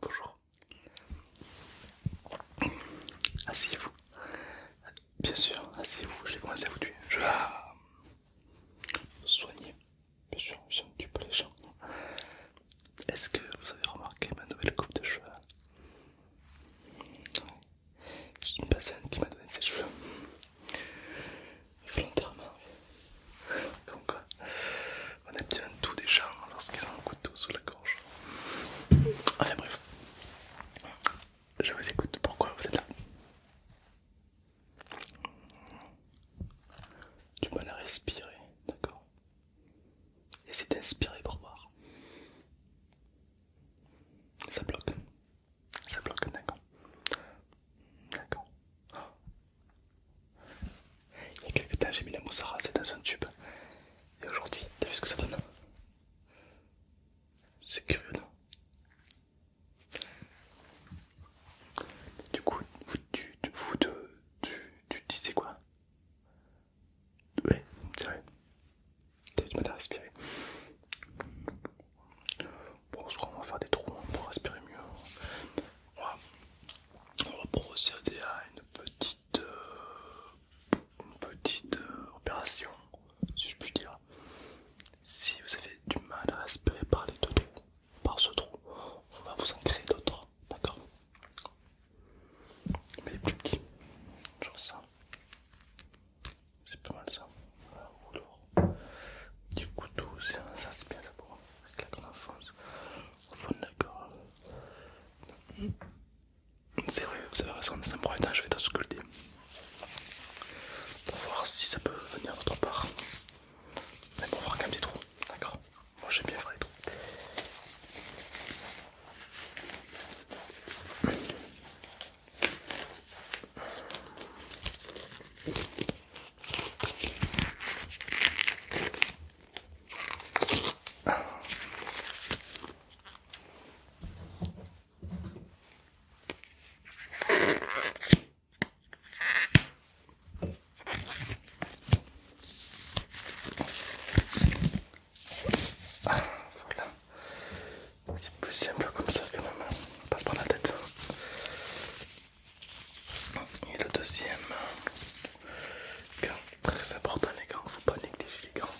Bonjour. Asseyez-vous. Bien sûr, asseyez-vous. Je vais à vous tuer. Je vais soigner. Bien sûr, je ne tue pas les gens. Est-ce que vous avez remarqué ma nouvelle coupe de cheveux C'est une personne qui m'a donné ses cheveux volontairement. donc Donc, euh, on aime bien tout des gens lorsqu'ils ont un couteau sous la gorge. Enfin bref, je vous écoute. Pourquoi vous êtes là Tu mal à respirer, d'accord Et d'inspirer pour voir. Ça bloque. Ça bloque, d'accord. D'accord. Il y a quelques temps, j'ai mis la moussara, c'est dans un tube. Et aujourd'hui, t'as vu ce que ça donne C'est curieux, non Du coup, vous, tu, vous tu, tu, disais quoi Ouais, c'est vrai. T'as eu du mal à respirer. Bon, je crois qu'on va faire des trous pour respirer mieux. On va procéder à une petite, euh, petite euh, opération, si je puis dire. Si vous avez du mal à respirer par les deux trous, par ce trou, on va vous en créer d'autres, d'accord Mais plus petit, genre ça. C'est pas mal ça. Du coup Du couteau, ça c'est bien ça pour moi. Mm. C'est vrai, vous avez raison, dans un premier temps, je vais sculpter pour voir si ça peut venir d'autre part. Mais pour voir quand même des trous, d'accord Moi j'aime bien faire les trous. Voilà, c'est plus simple comme ça que même, main passe par la tête. Et le deuxième gant très important les gants, faut pas négliger les gants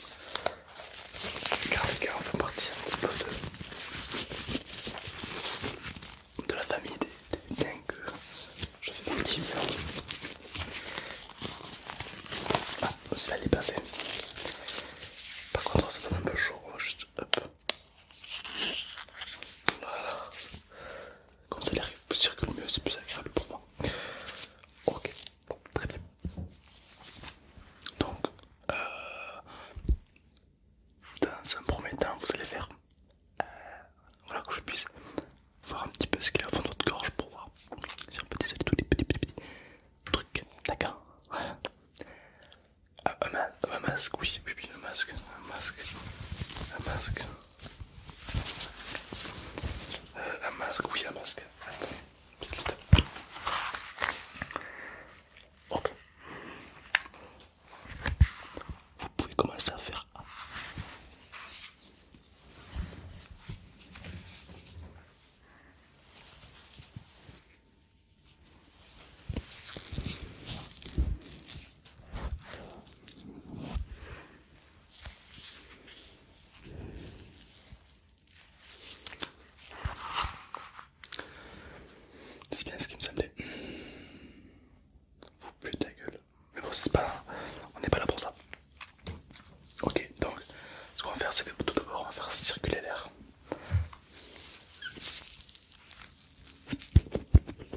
car les gants font partie un petit peu de, la famille des, des que je fais petit bien. Ah, ça va les passer. Par contre ça donne un peu chaud, juste hop voilà. Comme ça il circule mieux, c'est plus agréable pour moi. Ok, bon, très bien. Donc, euh, dans un premier temps, vous allez faire... Euh, voilà, que je puisse voir un petit peu ce qu'il y a au fond de votre gorge pour voir si on peut désoler tous les petits petits petits trucs. D'accord un, masque, oui, un masque, un masque, un masque, euh, un masque, oui, un masque. Ok. Vous pouvez commencer à faire. C'est bien ce qui me semblait. Vous putez de la gueule. Mais bon, c'est pas. On n'est pas là pour ça. Ok, donc ce qu'on va faire, c'est que tout d'abord, on va faire circuler l'air.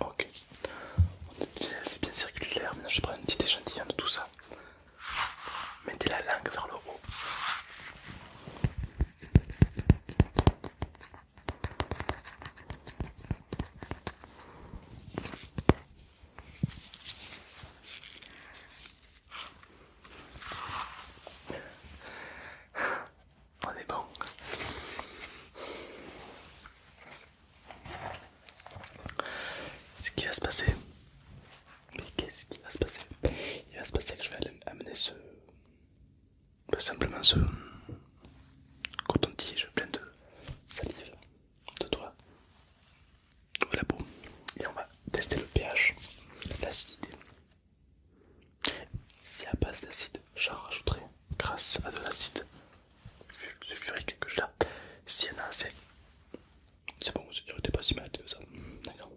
Ok, c'est bien, circulaire. Maintenant, je prendre un petit échantillon de tout ça. Mettez la langue vers le haut. On est bon. Ce qui va se passer. Mais qu'est-ce qui va se passer Il va se passer que je vais amener ce. Simplement ce coton-tige plein de salive de doigts Voilà peau. et on va tester le pH, l'acidité si à base d'acide, j'en rajouterai grâce à de l'acide sulfurique que j'ai là. Si y en a assez, c'est bon, c'est pas si mal que ça. D'accord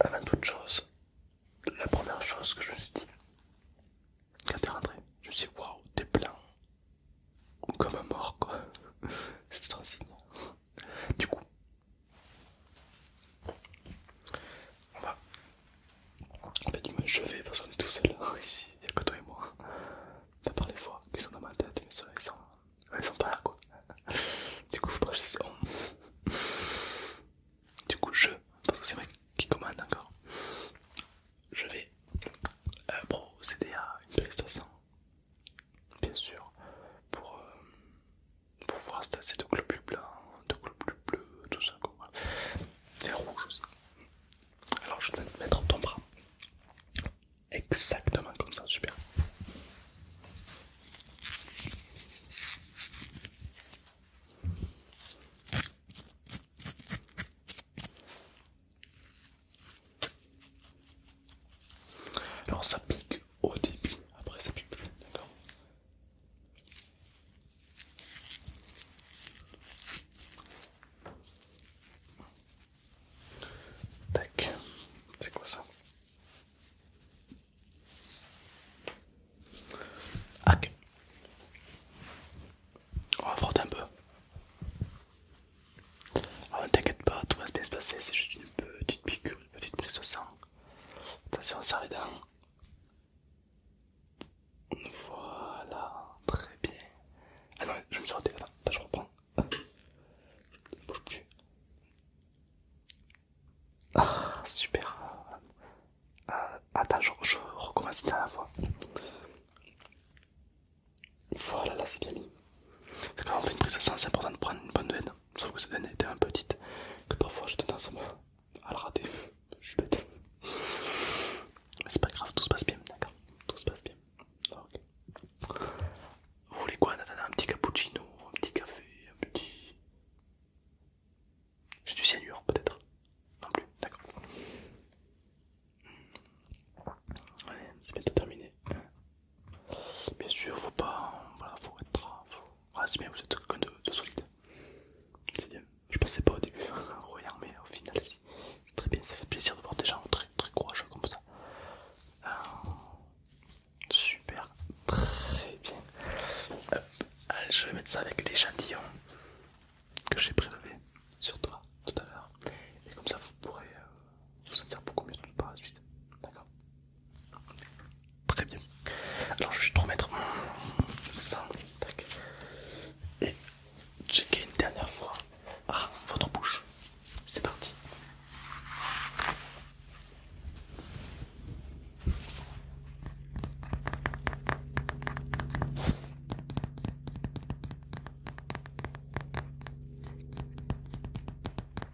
Avant toute chose, la première chose que je me suis dit quand t'es rentré, je me suis dit waouh, t'es plein comme un mort quoi. C'est trop signe. Du coup, on va... En je vais parce qu'on est tout seul hein, ici, il n'y a que toi et moi. De part les fois qu'ils sont dans ma tête, mais ils sont, ils sont pas là quoi. Du coup, je vais, Du coup, je, parce que c'est vrai qui commande encore, je vais euh, procéder à une prise de sang bien sûr, pour, voir euh, pour voir cet assez de globules blancs, de globules bleus, tout ça quoi. et rouges aussi. Alors je vais te mettre ton bras. Exactement comme ça, super. Alors ça pique au début, après ça pique plus, d'accord Tac, c'est quoi ça Ok, on va frotter un peu. Alors ah, ne t'inquiète pas, tout va bien se passer, c'est juste une petite piqûre, une petite prise de sang. Attention, on serre les dents. Voilà, très bien. Ah non, je me suis raté, là, je reprends. Je bouge plus. Ah, super. Ah, attends, je, recommence une dernière fois. Voilà, là c'est bien mis. Quand on fait une prise de sang, c'est important de prendre une bonne haine sauf que cette année était un peu petite, que parfois j'ai tendance à, le rater. Je suis bête. Mais c'est pas grave, tout se passe bien, d'accord Tout se passe bien. Vous voulez quoi en Un petit cappuccino, un petit café, un petit. J'ai du cyanure peut-être Non plus, d'accord. Allez, c'est bientôt terminé. Bien sûr, faut pas. Voilà, faut être. Faut... c'est bien, vous êtes quelqu'un de, solide. C'est bien. Je pensais pas au début, hein, Royal, mais au final, si. C'est très bien, ça fait plaisir de voir des gens très, très courageux comme ça. Euh, super, très bien. Euh, euh, je vais mettre ça avec l'échantillon que j'ai prélevé sur toi tout à l'heure. Et comme ça, vous pourrez vous sentir beaucoup mieux tout la suite. D'accord Très bien. Alors je vais juste remettre ça. Et checker une dernière fois ah, votre bouche. C'est parti.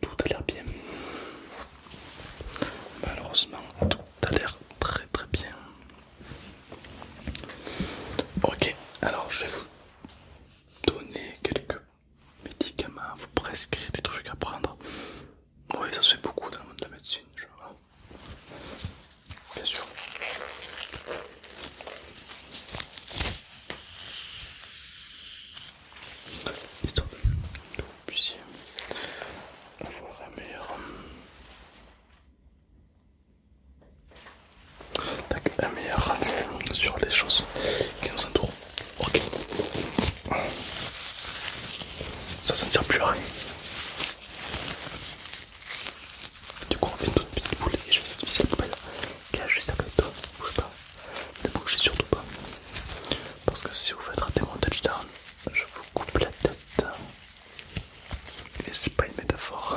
Tout a l'air bien. Malheureusement, tout a l'air très très bien. Ok, alors je vais vous donner quelques médicaments, vous prescrire des trucs à prendre. Oui, ça se fait beaucoup dans le monde de la médecine. Genre bien sûr. Histoire que vous puissiez avoir un meilleur, un meilleur sur les choses qui nous entourent. Ok, ça ne sert plus à rien. Du coup, on fait une toute petite boule et je vais cette petite poubelle qui est juste à côté de toi. Bouge pas, ne bougez surtout pas. Parce que si vous faites rater mon touchdown, je vous coupe la tête. Et c'est pas une métaphore.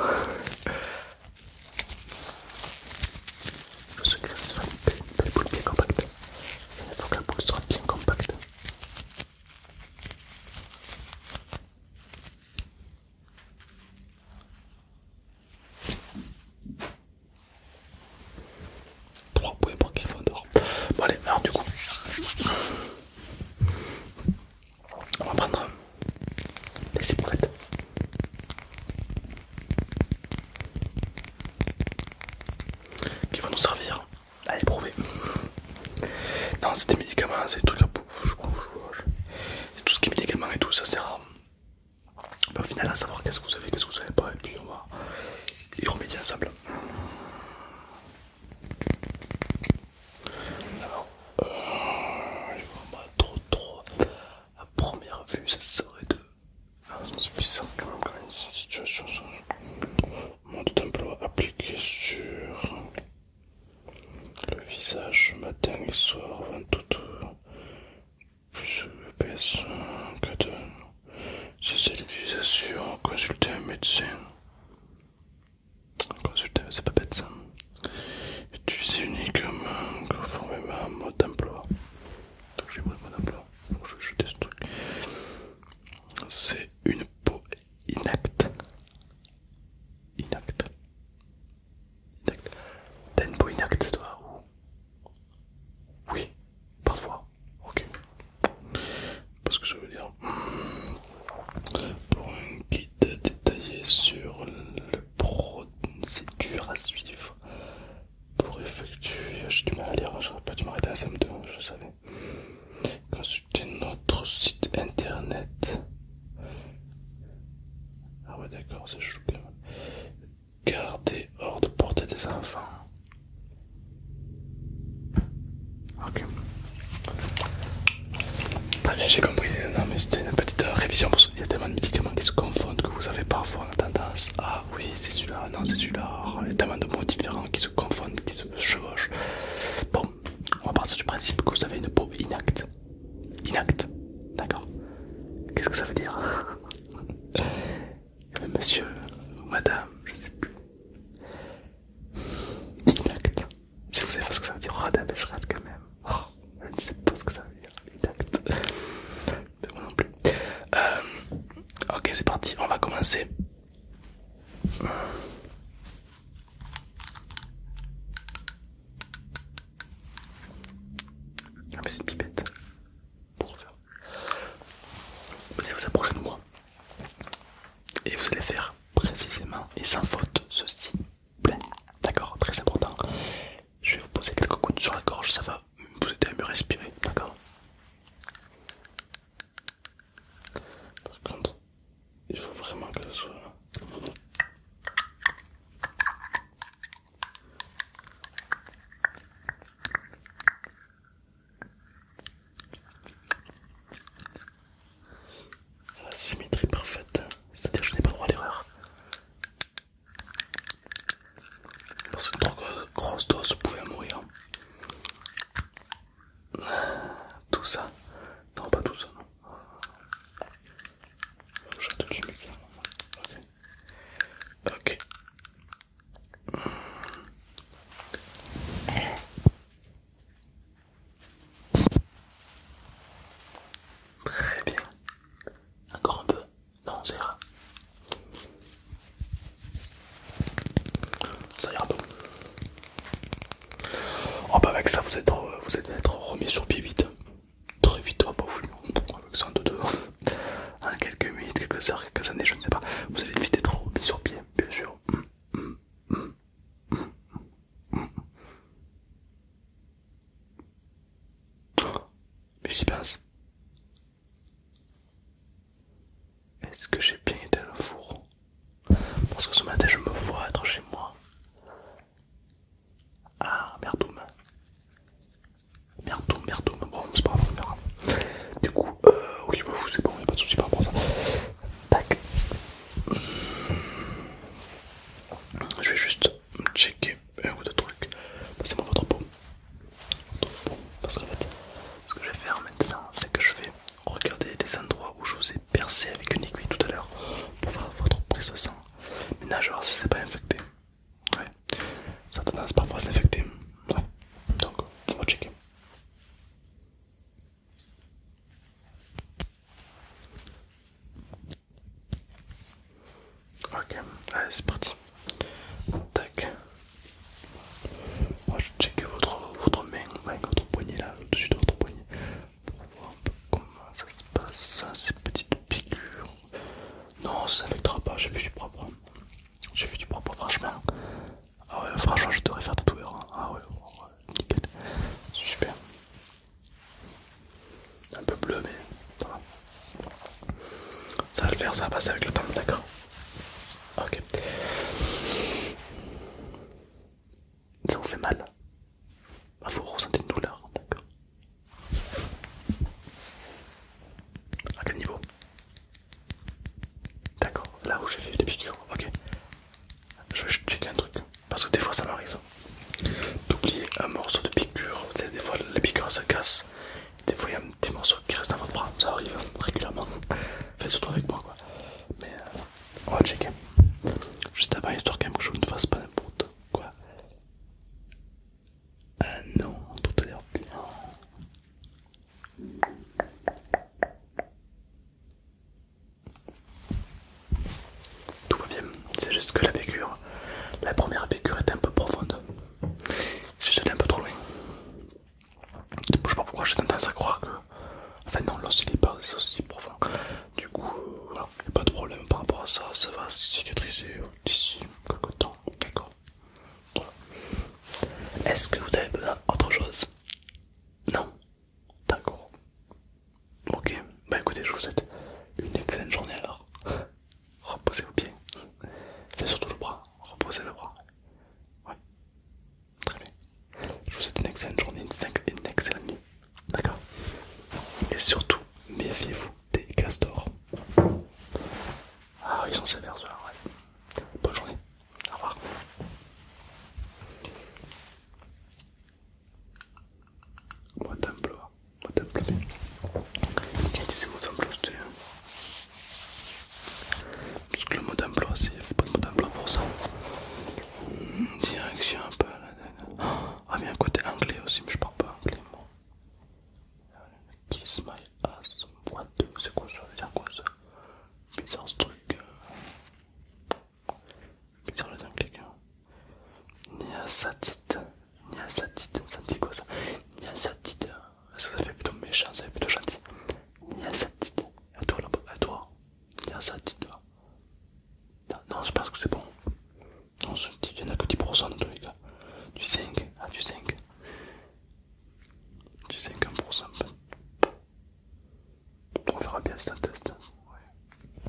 le secret c'est de faire une belle boule bien compacte. Il faut que la boule soit bien compacte. Trois points pour Gryffondor. Bon allez, alors du coup, on va prendre les ciboulettes. Qui vont nous servir Allez, prouvez. Non, c'est des médicaments, c'est des trucs à je crois, C'est tout ce qui est médicaments et tout, ça sert à. au final, à savoir qu'est-ce que vous avez, qu'est-ce que vous avez pas, et puis on va y remédier ensemble. Alors, euh, je vois pas trop, trop. A première vue, ça serait de. Ah, c'est puissant quand même, quand même, situation. Ça mode d'emploi appliqué sur le visage matin et soir avant toute plus épaisse que de l'utilisation. Consultez un médecin. Consultez, c'est pas bête ça. Utilisez uniquement conformément à un mode d'emploi. Donc j'ai mode d'emploi. Bon, je vais jeter ce truc. C'est une peau Inact. Inact. Inacte. T'as une peau inacte toi ou... Oui, parfois. Ok. Parce que je veux dire... Hmm, pour un guide détaillé sur le procédure à suivre pour effectuer... J'ai du mal à lire, hein, j'aurais pas dû m'arrêter à la SM2, je savais de notre site internet. Ah ouais d'accord, c'est chou quand Garder hors de portée des enfants. Ok. Très bien, j'ai compris. Non mais c'était une petite euh, révision parce qu'il y a tellement de médicaments qui se confondent que vous avez parfois tendance à... Ah oui, c'est celui-là, non c'est celui-là. Il y a tellement de mots différents qui se confondent chevauche. Bon, on va partir du principe que vous avez une peau inacte. Inacte, d'accord Qu'est-ce que ça veut dire Monsieur ou madame, je sais plus. Inacte. Si vous savez pas ce que ça veut dire, je rate quand même. Oh, je ne sais pas ce que ça veut dire. Inacte. moi non plus. Euh, ok, c'est parti, on va commencer. Ah, c'est pipette Vous allez vous approcher de moi et vous allez faire précisément et sans faute ceci. D'accord, très important. Je vais vous poser quelques coups sur la gorge, ça va vous aider à mieux respirer, d'accord par contre, il faut vraiment que ce soit. La symétrie parfaite, c'est-à-dire que je n'ai pas le droit à l'erreur. Parce que trop grosse dose pouvait mourir. Tout ça. Non, pas tout ça, non. J'attends que je micro Ok. Ok. Très bien. Encore un peu. Non, ça ira. Ça ira pas. Oh bah avec ça vous êtes vous êtes être remis sur pied vite. Très vite, pas bah avec ça en deux, deux. En hein. quelques minutes, quelques heures, quelques années, je ne sais pas. Vous allez vite être remis sur pied, bien sûr. Mm, mm, mm, Mais j'y pense. Est-ce que j'ai bien été le four Parce que ce matin je me vois être chez moi. Ah, merdoum. Merdoum, merdoum. Bon, c'est pas grave, Du coup, euh, oui, bah, c'est bon, il a pas de souci par rapport à ça. Tac. Je vais juste checker un euh, ou deux trucs. Bah, Passez-moi votre peau. Parce en fait, ce que je vais faire maintenant, c'est que je vais Regardez les endroits où je vous ai percé avec une aiguille tout à l'heure pour faire votre prise de sang. Maintenant, je vais voir si c'est pas infecté. Ouais, ça a tendance parfois à s'infecter. Ouais, donc on va checker. Ok, allez, c'est parti. Tac, je vais votre, votre main, votre poignet là, au-dessus de votre poignet, pour voir un peu comment ça se passe, ces petites piqûres. Non, ça ne n'affectera pas, j'ai vu du propre. J'ai vu du propre, franchement. Ah ouais, franchement, je devrais faire des hein. Ah ouais, Super. Un peu bleu, mais ça va. Ça va le faire, ça va passer avec le temps, d'accord Ok. Ça vous fait mal ah, Vous ressentez une douleur, d'accord. À quel niveau D'accord, là où j'ai fait des piqûres, ok. Je vais checker un truc, parce que des fois ça m'arrive d'oublier un morceau de piqûre. Des fois les piqûres se cassent, des fois il y a un petit morceau qui reste à votre bras, ça arrive régulièrement. Enfin, surtout avec moi quoi. Mais euh, on va checker. Juste avant, histoire quand même que je ne fasse pas n'importe quoi. Ah non, tout a l'air bien. Tout va bien, c'est juste que la piqûre, la première piqûre était un peu profonde. Je suis allé un peu trop loin. Je sais pas pourquoi j'ai tendance à croire que. Enfin, non, l'os il est pas aussi profond. Du coup, euh, voilà, il n'y a pas de problème par rapport à ça, ça va cicatriser d'ici quelques temps, d'accord Est-ce que vous avez besoin d'autre chose Non D'accord. Ok, bah écoutez, je vous souhaite une excellente journée alors. Reposez vos pieds. et surtout le bras, reposez le bras. Ouais. Très bien. Je vous souhaite une excellente journée, une excellente nuit. D'accord Et surtout, méfiez-vous des castors. Ah, ils sont sévères ceux-là, ouais. Bonne journée. Au revoir. Moi, bleu. Hein. Moi, bleu. dit que c'est, moi, parce que le mot d'emploi, il ne faut pas de mot d'emploi pour ça. Hmm, direction un peu. Ah, mais un côté anglais aussi, mais je parle pas anglais. moi. Kiss my ass. What C'est quoi ça c'est quoi ça Bizarre ce truc. Euh. Bizarre le anglais. Niasatite, niasatite, Ça dit quoi ça que ça fait plutôt méchant, ça fait plutôt gentil. Niasatit, à toi là-bas, à toi. Niasatit toi Non, je pense que c'est bon. Non, il n'y en a que 10% dans tous les cas. Du 5, ah du 5. Du 5-1%. On verra bien c'est test. Ouais.